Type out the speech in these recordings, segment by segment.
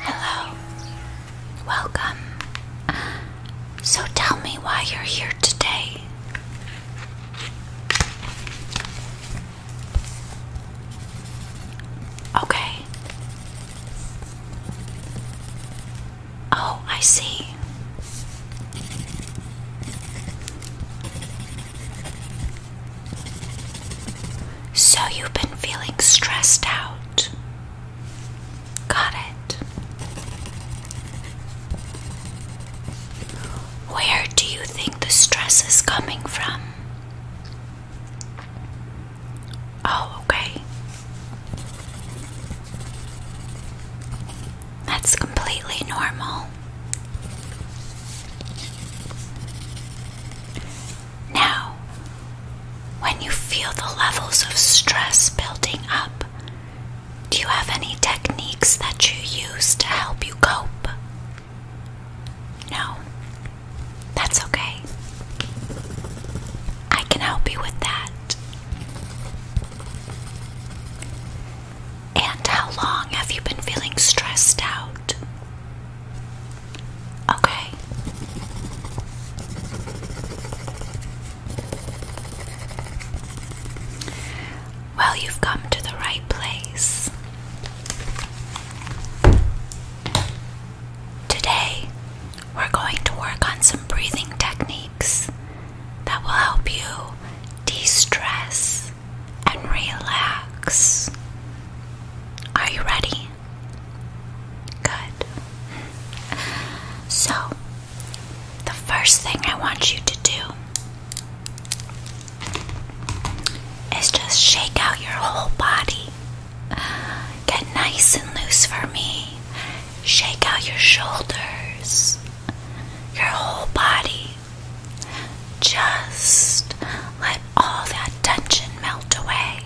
Hello. Welcome. So tell me why you're here today. Okay. Oh, I see. So you've been feeling stressed out. Got it. Where do you think the stress is coming from? Oh, okay. That's completely normal. Now, when you feel the levels of stress building up, do you have any techniques that you use to help you cope? No. That's okay. I can help you with that. And how long have you been feeling stressed out? Okay. Well, you've come to the right place. Today, we're going to work on some breathing techniques that will help you de stress and relax. Are you ready? Good. So, the first thing I want you to do is just shake out your whole body. Get nice and loose for me. Shake out your shoulders, your whole body. Just let all that tension melt away.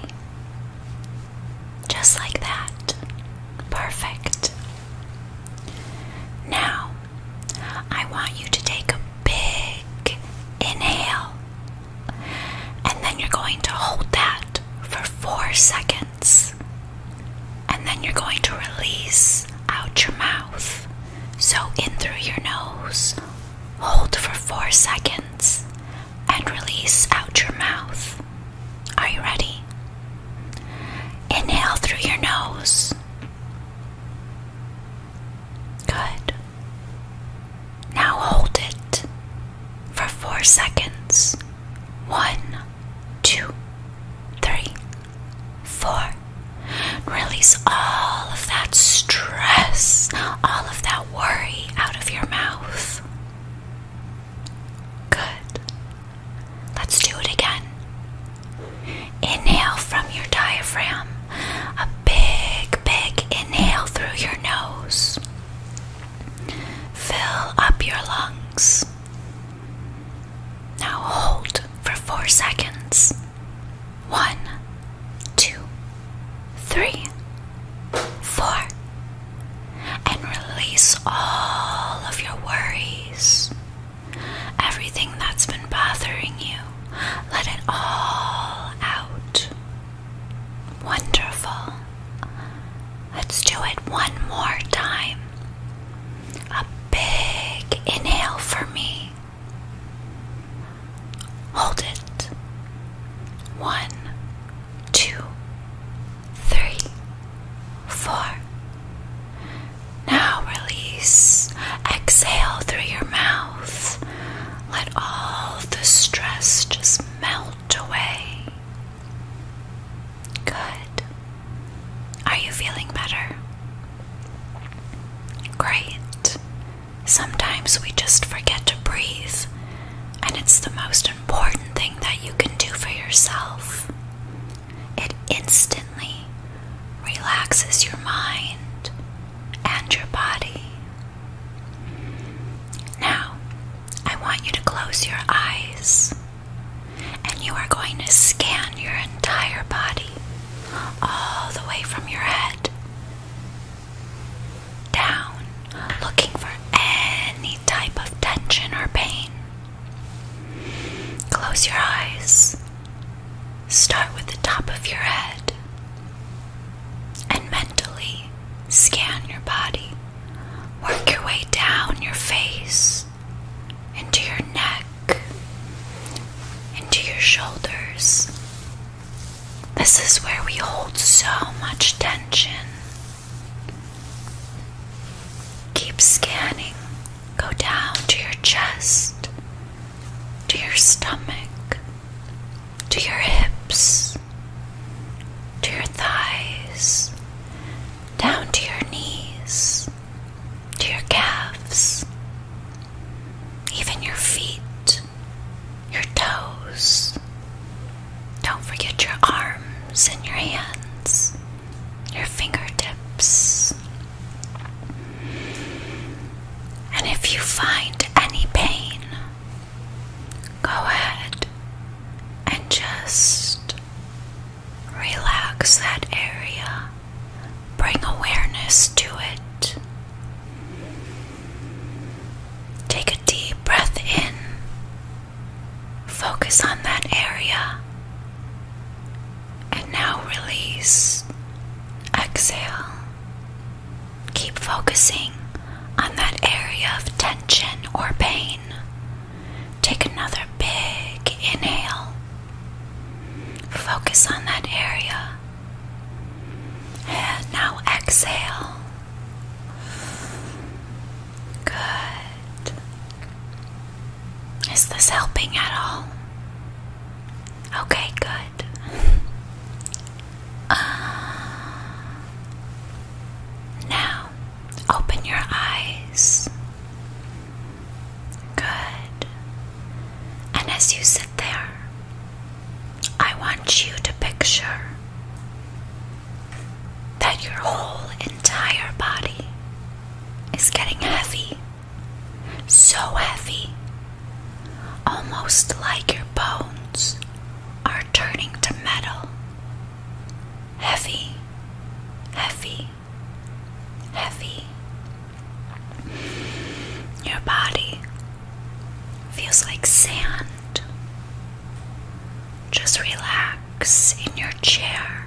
Just like that. Perfect. Now, I want you to take a big inhale, and then you're going to hold that for four seconds. And then you're going to release out your mouth. So, in through your nose, hold for four seconds, and release out your mouth. Are you ready? Inhale through your nose. Good. Now hold it for four seconds. One, two, three four. Release all of that stress, all of that worry out of your mouth. Good. Let's do it again. Inhale from your diaphragm. A big, big inhale through your nose. Fill up your lungs. Now hold for four seconds. One, two, three, four. And release all of your worries. Everything that's been bothering you, let it all out. Wonderful. Let's do it one more time a big inhale for me. Hold it. One, two, three, four. Now release. Exhale through your mouth. Let all the stress just melt away. Good. Are you feeling better? Great. Sometimes we just forget to breathe, and it's the most important thing that you can do for yourself. It instantly relaxes your mind and your body. Now, I want you to close your eyes and you are going to scan your entire body, all the way from your head down, looking for any type of tension or pain. Close your eyes. Start with the top of your head and mentally scan your body. Work your way down your face, into your neck, into your shoulders. This is where we hold so much tension. Keep scanning. Go down to your chest, to your stomach, to your hips, to your thighs, down to your knees, to your calves, even your feet, your toes. Don't forget your arms and your hands, your fingertips. And if you find any pain, go ahead and just Relax that area, bring awareness to it. Take a deep breath in, focus on that area, and now release. Exhale. Keep focusing on that area of tension or pain. Take another big inhale. Focus on that area. And now exhale. Good. Is this helping at all? Okay, good. Uh, now, Open your eyes. Good. And as you sit there, I want you to picture that your whole entire body is getting heavy. So heavy. Almost like your bones are turning to metal heavy, heavy, heavy. Your body feels like sand. Just relax in your chair.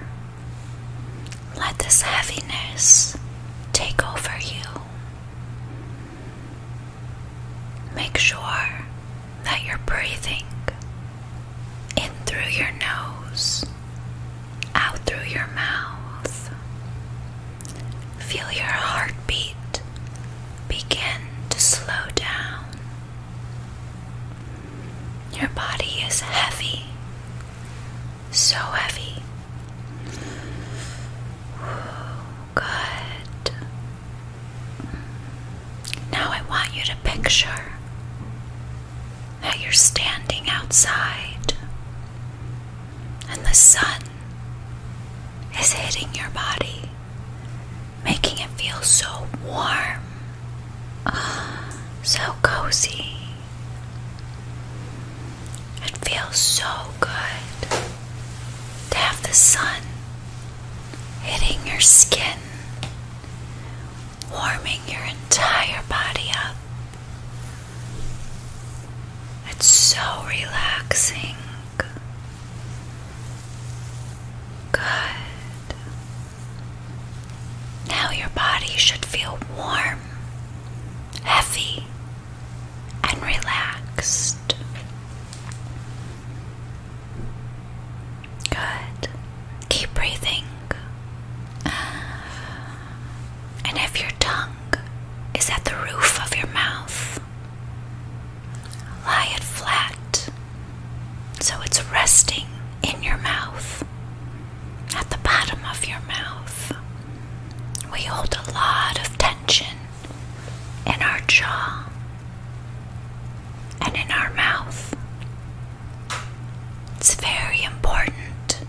Let this heaviness take over you. Make sure that you're breathing in through your nose, out through your mouth. Feel your heartbeat begin to slow down. Your body is heavy, so heavy. Good. Now I want you to picture that you're standing outside and the sun is hitting your body, making it feel so warm, so cozy. It feels so good to have the sun hitting your skin, warming your entire body up. It's so relaxing. Good. Now your body should feel warm, heavy, and relaxed. Good. Keep breathing. And if your tongue is at the roof of your mouth, lie it flat so it's resting in your mouth, at the bottom of your mouth. We hold a lot of tension in our jaw, and in our mouth. It's very important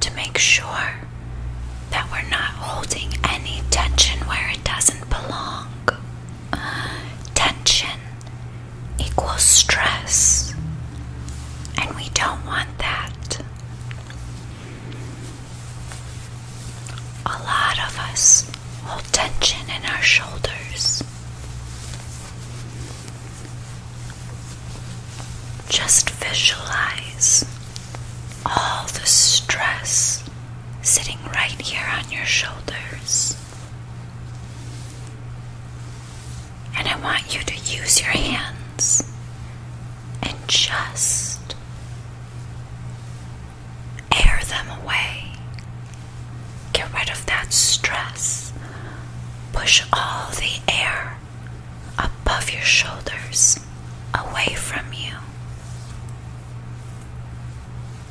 to make sure that we're not holding any tension where it doesn't belong. Tension equals stress, and we don't want that. A lot of us hold tension in our shoulders. Just visualize all the stress sitting right here on your shoulders. And I want you to use your hands and just air them away. Get rid of that stress. Push all the air above your shoulders away from you.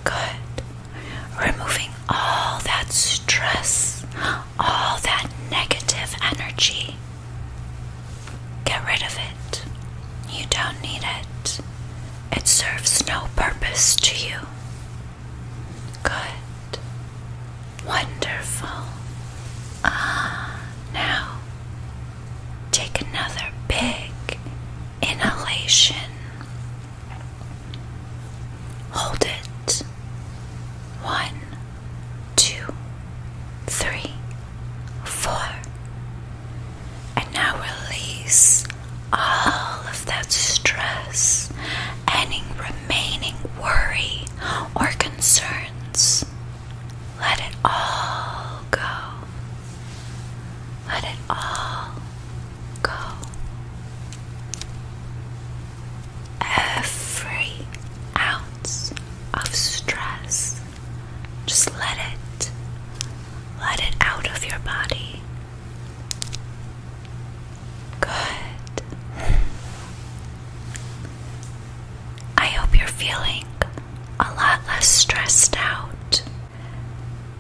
Good. Removing all that stress, all that negative energy Get rid of it. You don't need it. It serves no purpose to you. Good. Wonderful. Ah, now take another big inhalation. Hold it. One, two, three, four. And now release all of that stress, any remaining worry or concerns. Let it all go. Let it all go. Every ounce of stress just let it. Let it out of your body. Good. I hope you're feeling a lot less stressed out.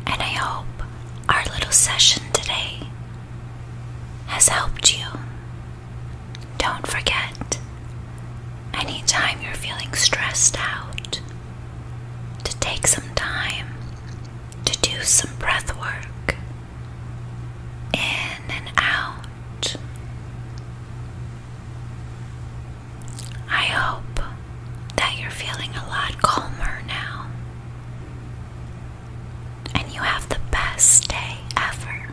And I hope our little session today has helped you. Don't forget, anytime you're feeling stressed out, to take some time to do some breath work in and out. I hope that you're feeling a lot calmer now and you have the best day ever.